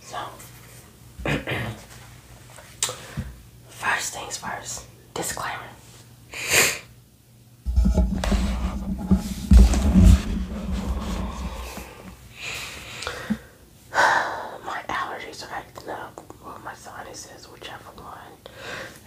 So, first things first, disclaimer. my allergies are acting up, or my sinuses, whichever one.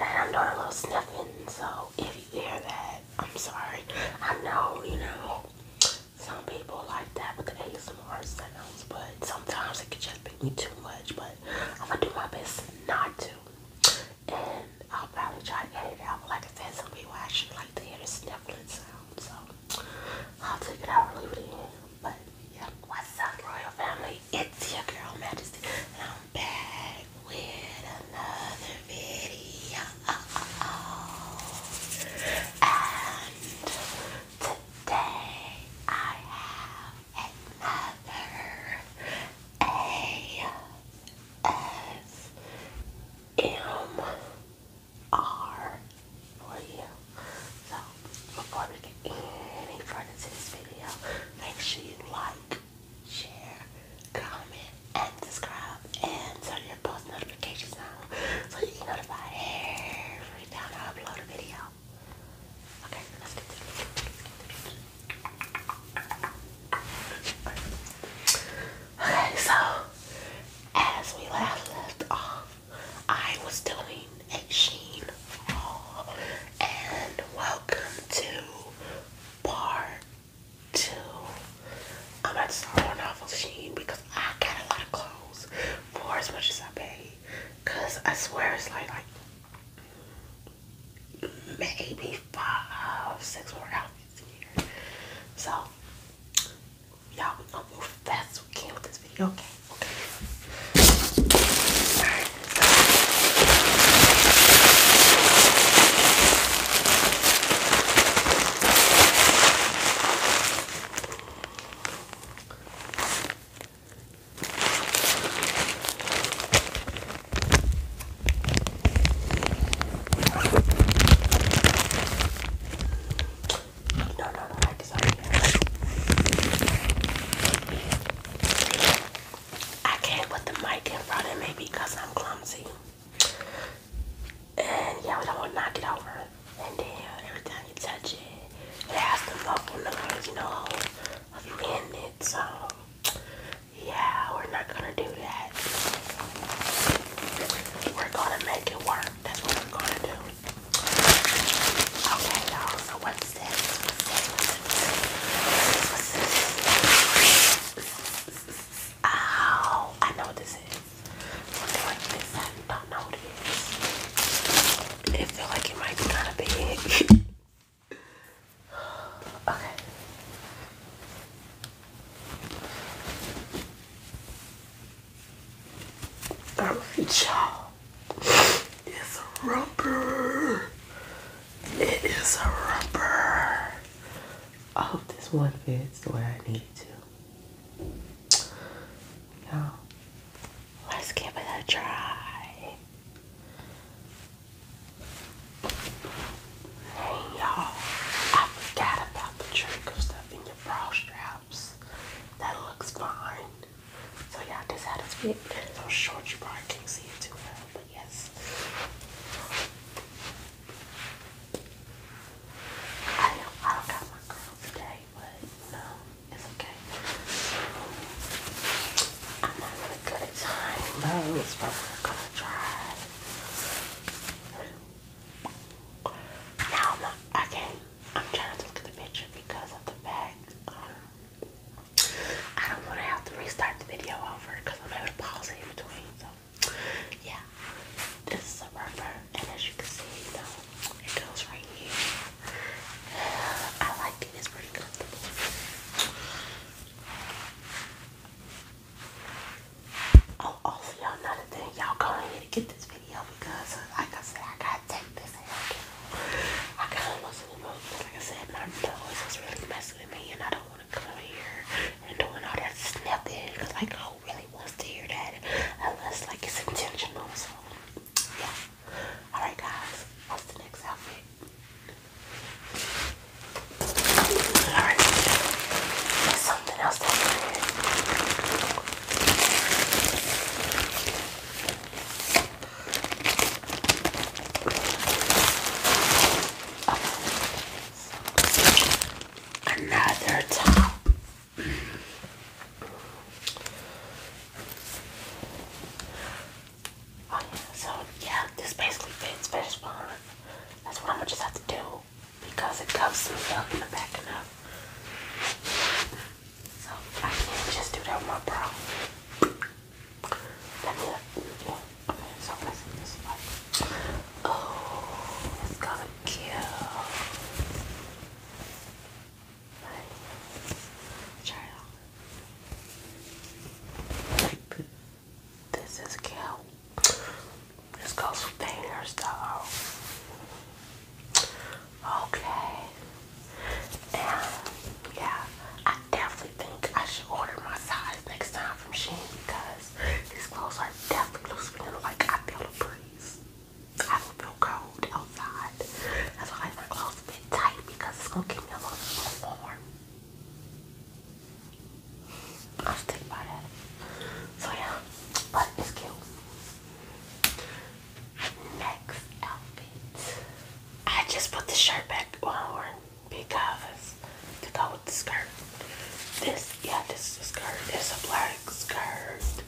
And I'm doing a little sniffing, so if you hear that, I'm sorry. I know, you know, some people like that with the ASMR sounds, but sometimes it can just be me too much. But I'm gonna do my best not to, and I'll probably try to edit it out. But like I said, some people actually like to hear the sniffling sound, so I'll take it out or leave it in. But yeah, what's up, royal family? It's your girl Majesty, and I'm back with another video. And today I have another ASMR for you. So before we get any further to this video, make sure you like, share, comment, and subscribe and turn your post notifications on so you get notified every time I upload a video. Okay, Okay, so as we left off, I was doing a sheen haul and welcome to part two. I'm at to start on off because I got a lot of clothes for as much as I pay. Cause I swear it's like like maybe five, six more outfits here. So y'all we gonna move fast we can with this video, okay? Okay. No, no, no, I decided. I can't put the mic in front of me because I'm clumsy. And yeah, we don't want to knock it over. And then every time you touch it, it has the muffle noise, you know, of you in it. So yeah, we're not gonna do that. We're gonna make it work. That's what we're gonna do. Okay, y'all. So What's this? Ow! I know what this is. I like this, I don't know what it is. It feel like it might be kind of big. okay. Alright y'all. It's a rubber. It is a rubber. I hope this one fits the way I need it to. Now, let's give it a try. Hey y'all, I forgot about the trick of stuffing your bra straps. That looks fine. So y'all, this how this fit. i short you probably can't see it too well, yes. I know I don't got my girl today, but no, it's okay. I'm having a good time, though, is what we're gonna try. Now, I'm not, I I'm trying to look at the picture because of the fact, I don't want to have to restart the video over because I'm able to pause in between. So, yeah, this is a rubber, and as you can see, you it goes right here. I like it, it's pretty comfortable. Oh, also, oh, y'all, another thing, y'all go ahead and get this video because, like I said, I gotta take this out. I got almost in the mood, like I said, my nose is really messed and I don't want to come here and doing all that snipping because like who really wants to hear that unless like it's intentional. So yeah. Alright guys, what's the next outfit? Alright, something else Another top. Oh, so yeah, this basically fits fish spawn. That's what I'm gonna just have to do because it covers me up in the back enough. So I can't just do that with my bra. Let me Okay, so I'm gonna see this one. cute. Oh, right. Try This is cute. This goes with the hairstyle. Okay. And yeah, I definitely think I should order my size next time from Shein because these clothes are definitely loosening. Like I feel a breeze. I don't feel cold outside. That's why my clothes a bit tight because it's gonna keep me a little bit warm. I'll stick by that. So yeah, but it's cute next outfit. I just put the shirt back on because to go with the skirt. This, yeah, this is a skirt. It's a black skirt.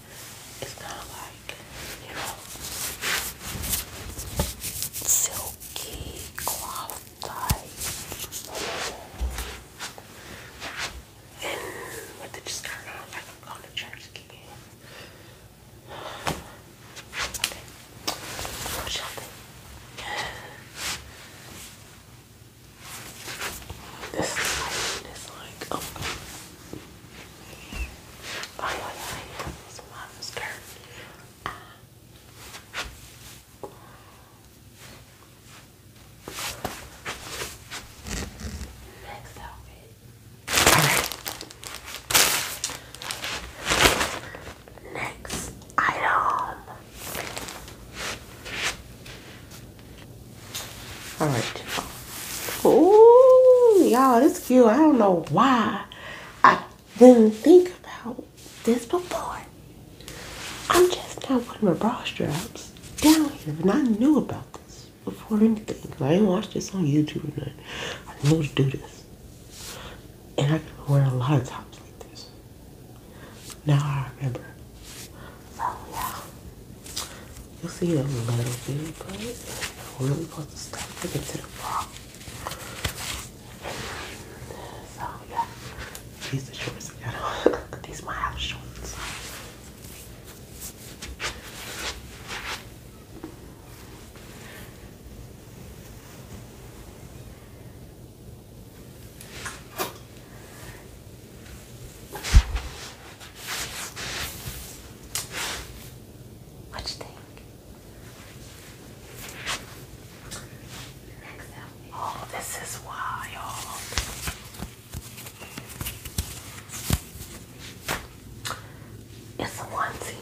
It's kind of like, you know, silky cloth type. And with the skirt on, like I'm going to church again. Okay. More shopping. This thing is like, oh. Oh, yeah, yeah, yeah. It's mom's turn. Uh, Next outfit all right. Next item. All right. Oh, y'all, this cute. I don't know why I didn't think about this before. I'm just not putting my bra straps down here, and I knew about this before anything. I ain't not watch this on YouTube or nothing. I know to do this. And I can wear a lot of tops like this. Now I remember. So oh, yeah. You'll see a little bit, but i really supposed to stop looking to the bra. So oh, yeah. These are shorts I got on. These are my house shorts. What you think? Oh, this is wild. It's a onesie.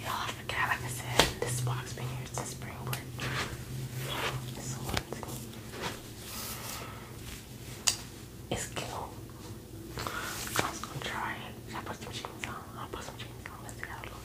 Y'all, I Like I said, this box been here since spring break. It's a onesie. It's cute. I'm gonna try it. Should I put some jeans on? I'll put some jeans on. Let's see how it looks.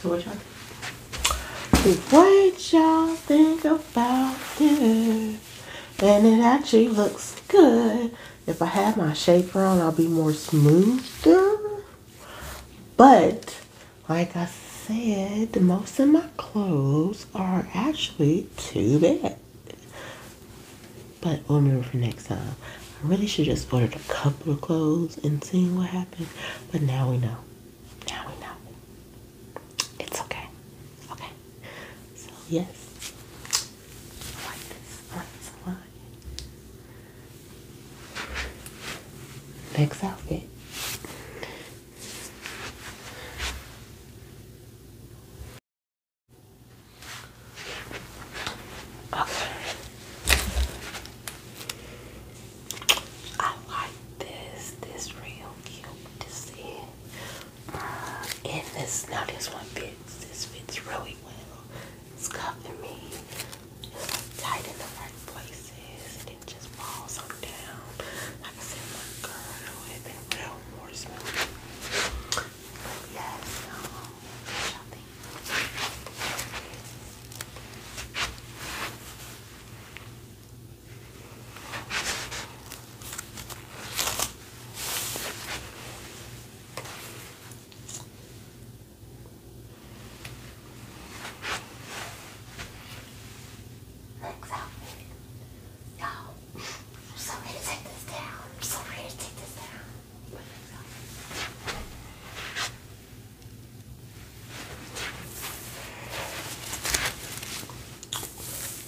So what y'all What y'all think about this? And it actually looks good. If I have my shaper on, I'll be more smoother. But, like I said, most of my clothes are actually too big. But we'll remember for next time. I really should have just ordered a couple of clothes and seeing what happened. But now we know. Now we know. It's okay. Okay. So yes. Next outfit. Okay. I like this. This real cute to see. Uh, and this now this one fits. This fits really well. It's covering me. It's like tight in the right places. it just falls up, down. I can see my girdle and it real more smooth. But yes, um, shopping. Next outfit. No. I'm take this down. I'm take this down.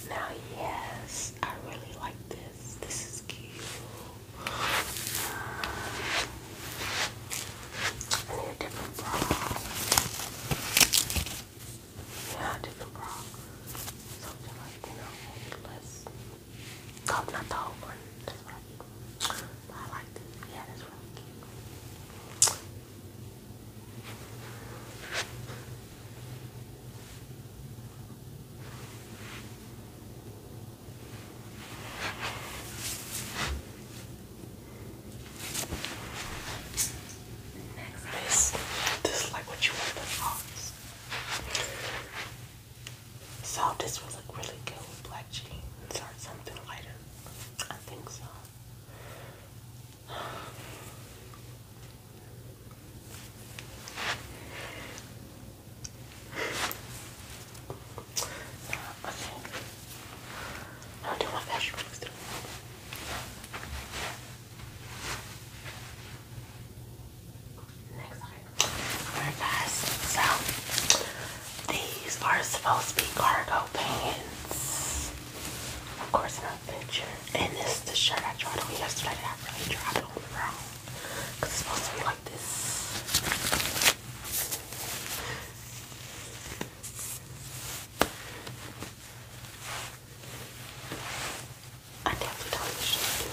Now, yes, I really like this. This is cute. I need a different bra. Yeah, different bra. Something like, you know, less. not the whole one. That's what I do. I like this. Yeah, that's really this, this what you want the office. So this would look really good with black jeans or something lighter. I think so. Okay. I don't do my fashion weeks Alright guys, so these are supposed to be cargo pants. Of course in a picture. And this the shirt I tried on yesterday I really tried on wrong. Cause it's supposed to be like this. I definitely do do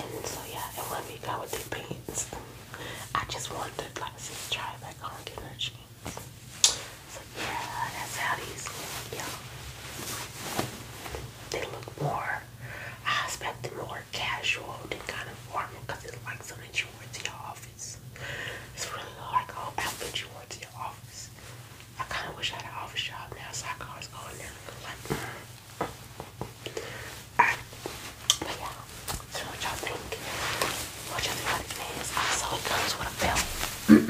that. And so yeah, and when we got with the pants, I just wanted to like just try it back on get jeans. So yeah, that's how these look, yeah. They look more I expected more casual than kind of formal because it's like something you you to your office. It's really hard to go outfit to your office. I kind of wish I had an office job now, so I could always go in there and go but yeah, so what y'all think? What y'all think about Also, it comes with but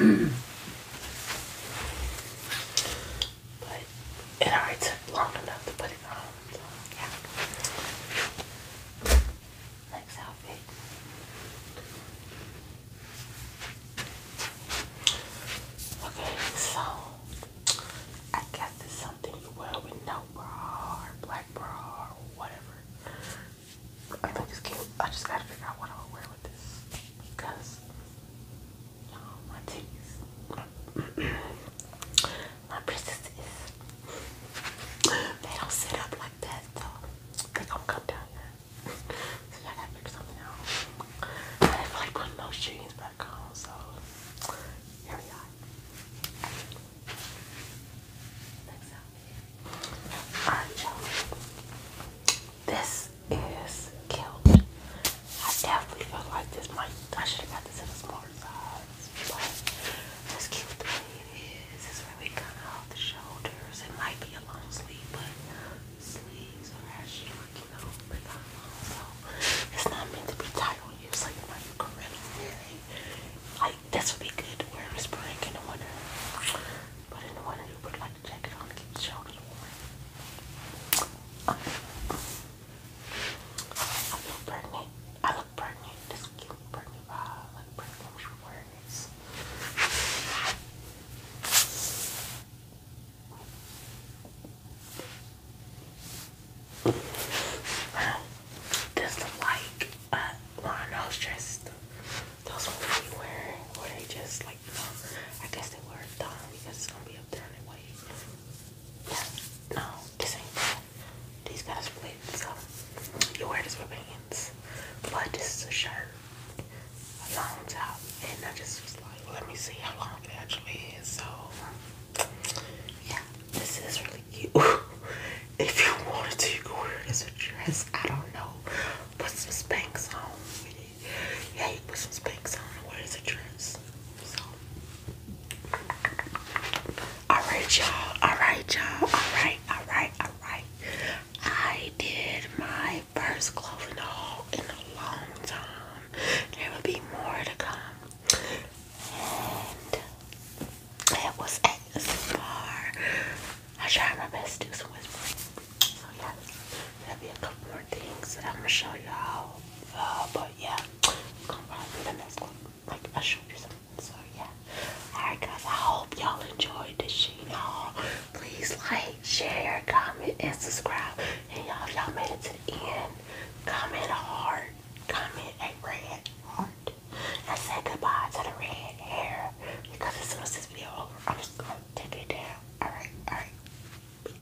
it already took long enough to put it on so yeah. Next outfit. Okay, so I guess it's something you wear with no bra black bra whatever. I think it's cute. I just gotta figure out what I'm gonna wear with this because you my titties. my princess They don't sit up like that though. They do come down so I gotta figure something out. I did like putting those jeans back on, so here we are. Next outfit. Alright, This is cute. I definitely feel like this might I should have got this in a smaller size but as cute the way it is, it's really kind of off the shoulders. It might be a long sleeve, but sleeves are actually like, you know, they long, so it's not meant to be tight on you, so you might be correctly Like, this would be good to wear in spring and the winter, but in the winter you put like a jacket on to keep the shoulders warm. I feel pregnant. I look pregnant. This cute pregnant vibe, like pregnant words. This look like uh, one of those Those ones we wear, where they just like, I guess they wear a thong because it's gonna be up there in yeah, no, this ain't bad. These guys are big, so you wear this with pants. But this is a shirt, a long top, and I just was like, let me see how long it actually is. So, yeah, this is really cute. if you wanted to, you could wear this as a dress. I don't know. Put some spanks on with Yeah, put some spanks on and wear it as a dress. So, Alright, y'all. Alright, y'all. Alright, alright, alright. I did my first clothing haul in a long time. There will be more to come. And it was at the bar. I tried my best to do some whispering. So yes, there'll be a couple more things I'm gonna show y'all. Uh, but yeah, I'm to the next one. Like I showed you something. So yeah. Alright guys, I hope y'all enjoyed this shit. you please like, share, comment, and subscribe. And y'all y'all made it to the end, comment a heart. Comment a red heart. And say goodbye to the red hair. Because as soon this video over, I'm just gonna take it down. Alright, alright.